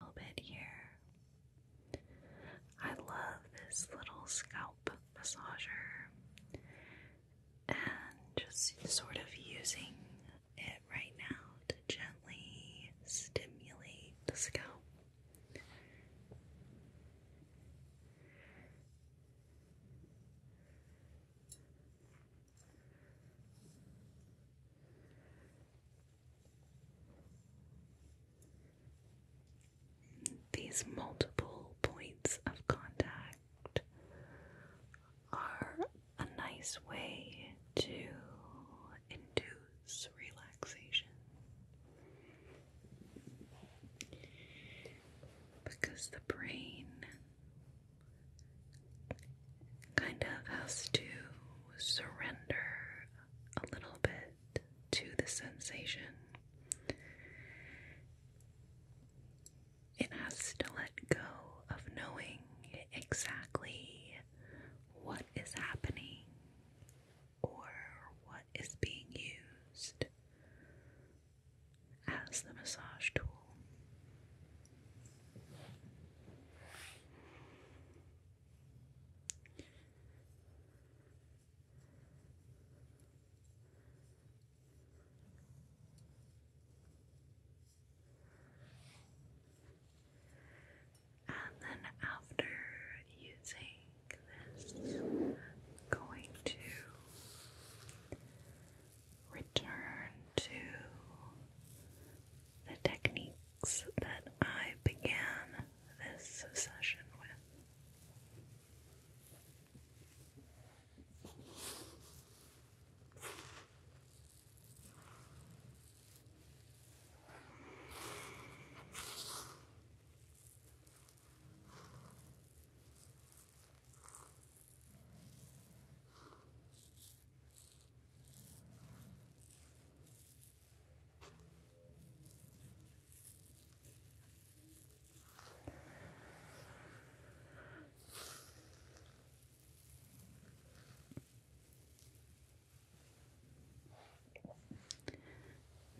little bit here. I love this little scalp massager and just sort of using it right now to gently stimulate the scalp. These multiple points of contact are a nice way to induce relaxation because the brain kind of has to surrender a little bit to the sensation. It has to let go of knowing exactly what is happening or what is being used as the massage tool. And then after using this, going to return to the techniques that I began this session with.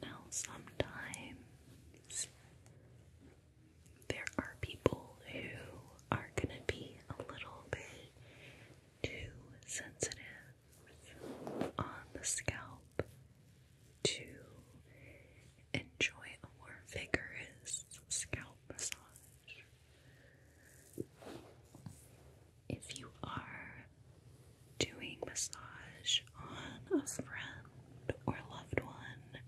Now, sometimes there are people who are going to be a little bit too sensitive on the scalp to enjoy a more vigorous scalp massage. If you are doing massage on a friend or loved one,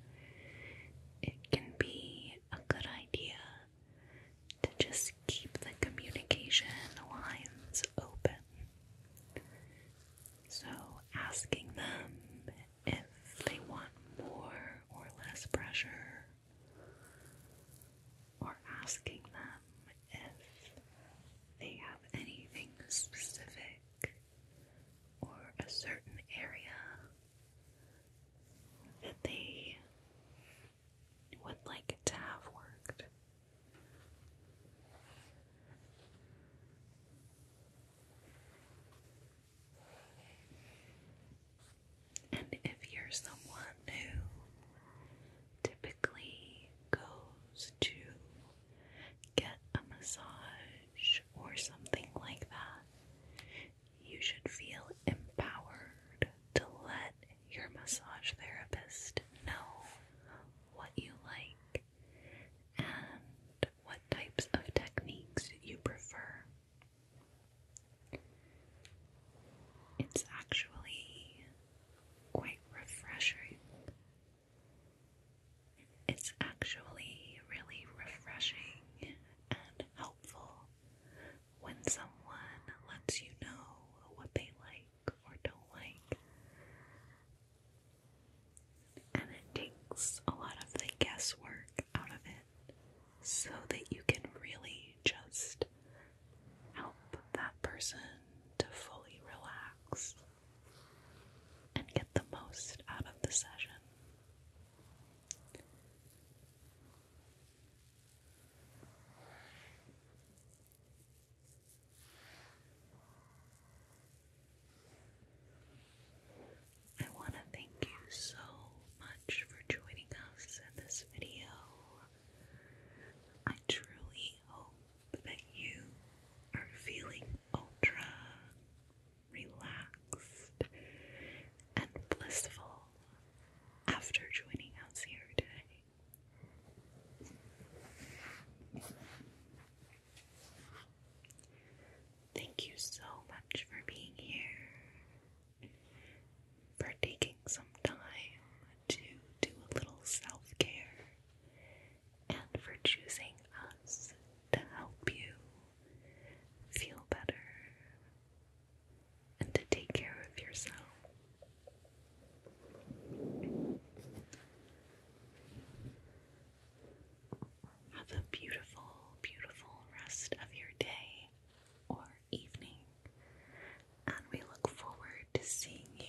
it can be a good idea to just keep the communication lines open. So, asking them if they want more or less pressure, or asking them if they have anything specific or a certain area that they would like it to have worked. And if you're someone who typically goes to get a massage or something like that, you should feel empowered to let your massage therapist know what you like and what types of techniques you prefer. It's actually quite refreshing it's actually really refreshing and helpful when someone lets you know what they like or don't like. And it takes a lot of the guesswork out of it so that you can really just help that person to fully relax and get the most out of the session. I want to thank you so much for joining us in this video. I truly hope that you are feeling ultra relaxed, and blissful after joining us here today. Thank you so much for being here, for taking some time to do a little self care and for choosing us to help you feel better and to take care of yourself. Have a beautiful, beautiful rest of your day or evening, and we look forward to seeing you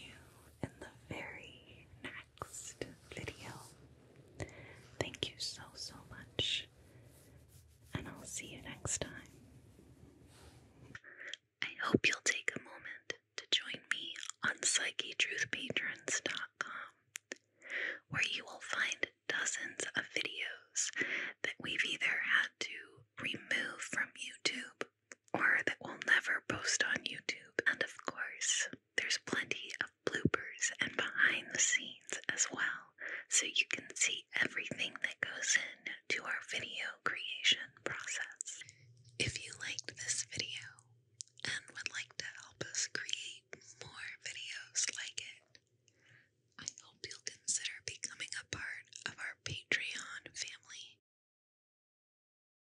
in the very next video. Thank you so, so much, and I'll see you next time. I hope you'll take a moment to join me on dot com, where you will find dozens of videos that we've either had to remove from YouTube or that we'll never post on YouTube, and of course, there's plenty of bloopers and behind the scenes as well, so you can see everything that goes in to our video creation process. If you liked this video and would like to help us create more videos like it, I hope you'll consider becoming a part of our Patreon family.